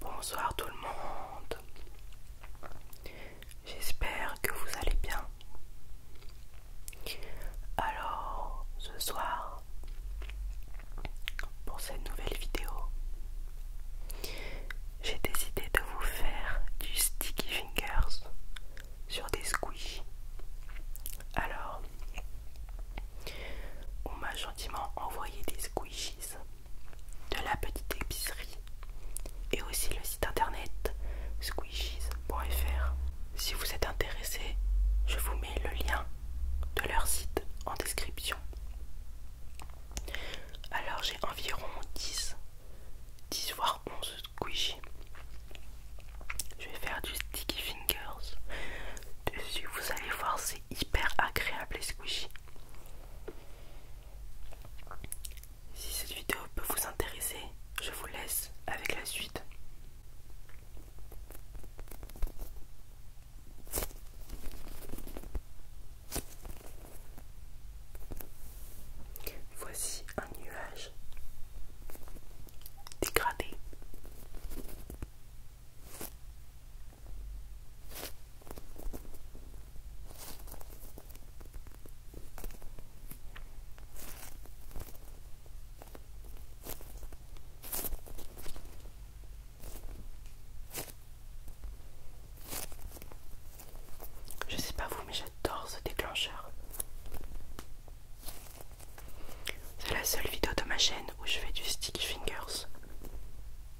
Bonsoir tout le monde. J'espère que vous allez bien. Alors, ce soir, pour cette nouvelle vidéo, j'ai décidé de vous faire du sticky fingers sur des squishies. Alors, on m'a gentiment envoyé des squishies de la petite épicerie et aussi le site internet squishies.fr. Si vous êtes intéressé, je vous mets le lien de leur site en description. Alors j'ai environ 10, 10 voire 11 squishies. Je vais faire du sticky fingers. Dessus, vous allez voir, c'est hyper agréable et squishy. Si cette vidéo peut vous intéresser, je vous laisse avec la suite. Voici un nuage dégradé je sais pas vous, mais j'adore ce déclencheur. C'est la seule vidéo de ma chaîne où je fais du stick fingers.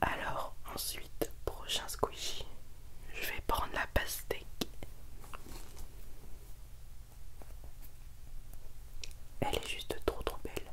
Alors ensuite, prochain squishy, je vais prendre la pastèque. Elle est juste trop trop belle.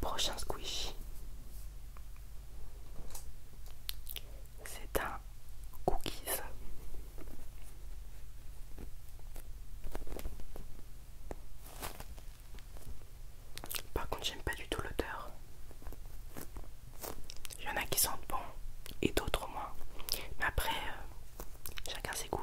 Prochain squishy c'est un cookies. Par contre, j'aime pas du tout l'odeur. Il y en a qui sentent bon et d'autres moins. Mais après, euh, chacun ses goûts.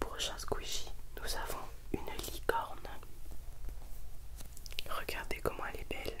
Prochain squishy, nous avons une licorne. Regardez comment elle est belle.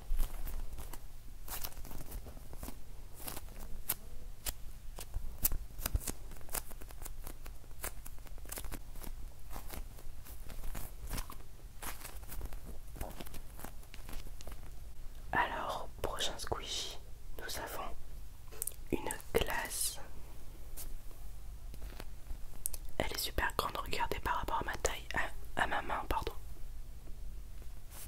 Alors, prochain squishy, nous avons une glace. Elle est super grande, regardez par rapport à ma taille, à, à ma main, pardon. Vous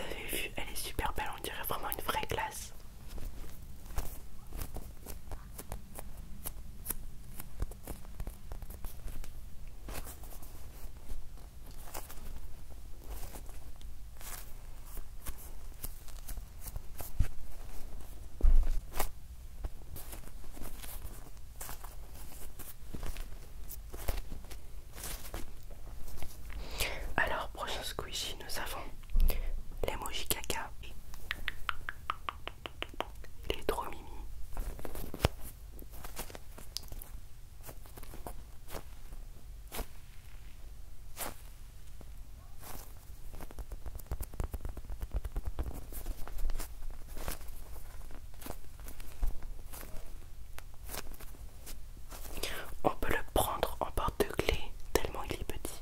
avez vu, elle est super belle, on dirait vraiment une vraie glace. Alors, prochain squishy, nous avons les caca. Il est trop mimi. On peut le prendre en porte clé tellement il est petit.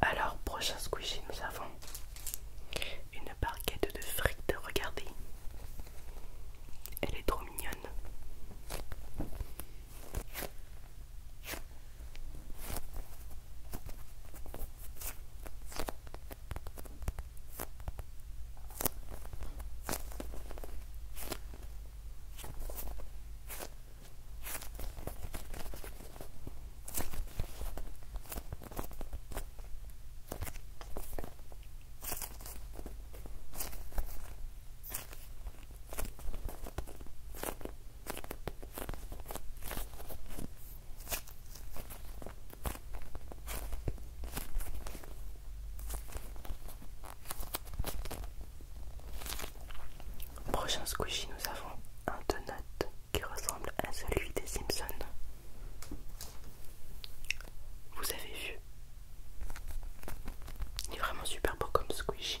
Alors, prochain squishy, nous avons une barquette de frites. Regardez, elle est trop mignonne. Prochain squishy, nous avons un donut qui ressemble à celui des Simpsons. Vous avez vu il est vraiment super beau comme squishy.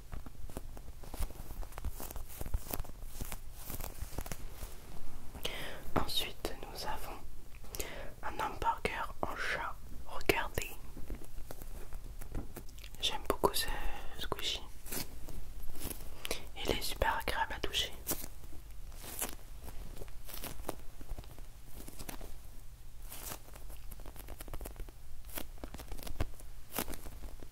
Ensuite, nous avons un hamburger en chat. Regardez. J'aime beaucoup ce squishy. Il est super agréable à toucher.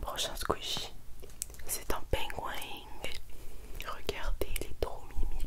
Prochain squishy, c'est un pingouin. Regardez, les est trop mimi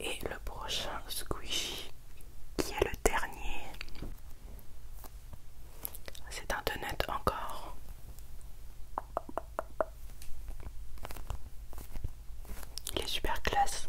Et le prochain squishy, qui est le dernier, ah, c'est un donut encore. Il est super classe.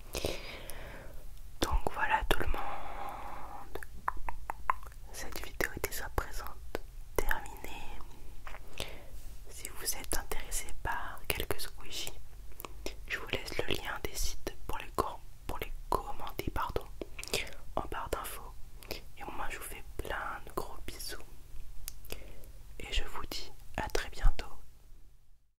Donc voilà tout le monde. Cette vidéo est déjà présente, terminée. Si vous êtes intéressé par quelques squishies, je vous laisse le lien des sites pour les, pour commander pardon, en barre d'infos. Et moi je vous fais plein de gros bisous. Et je vous dis à très bientôt.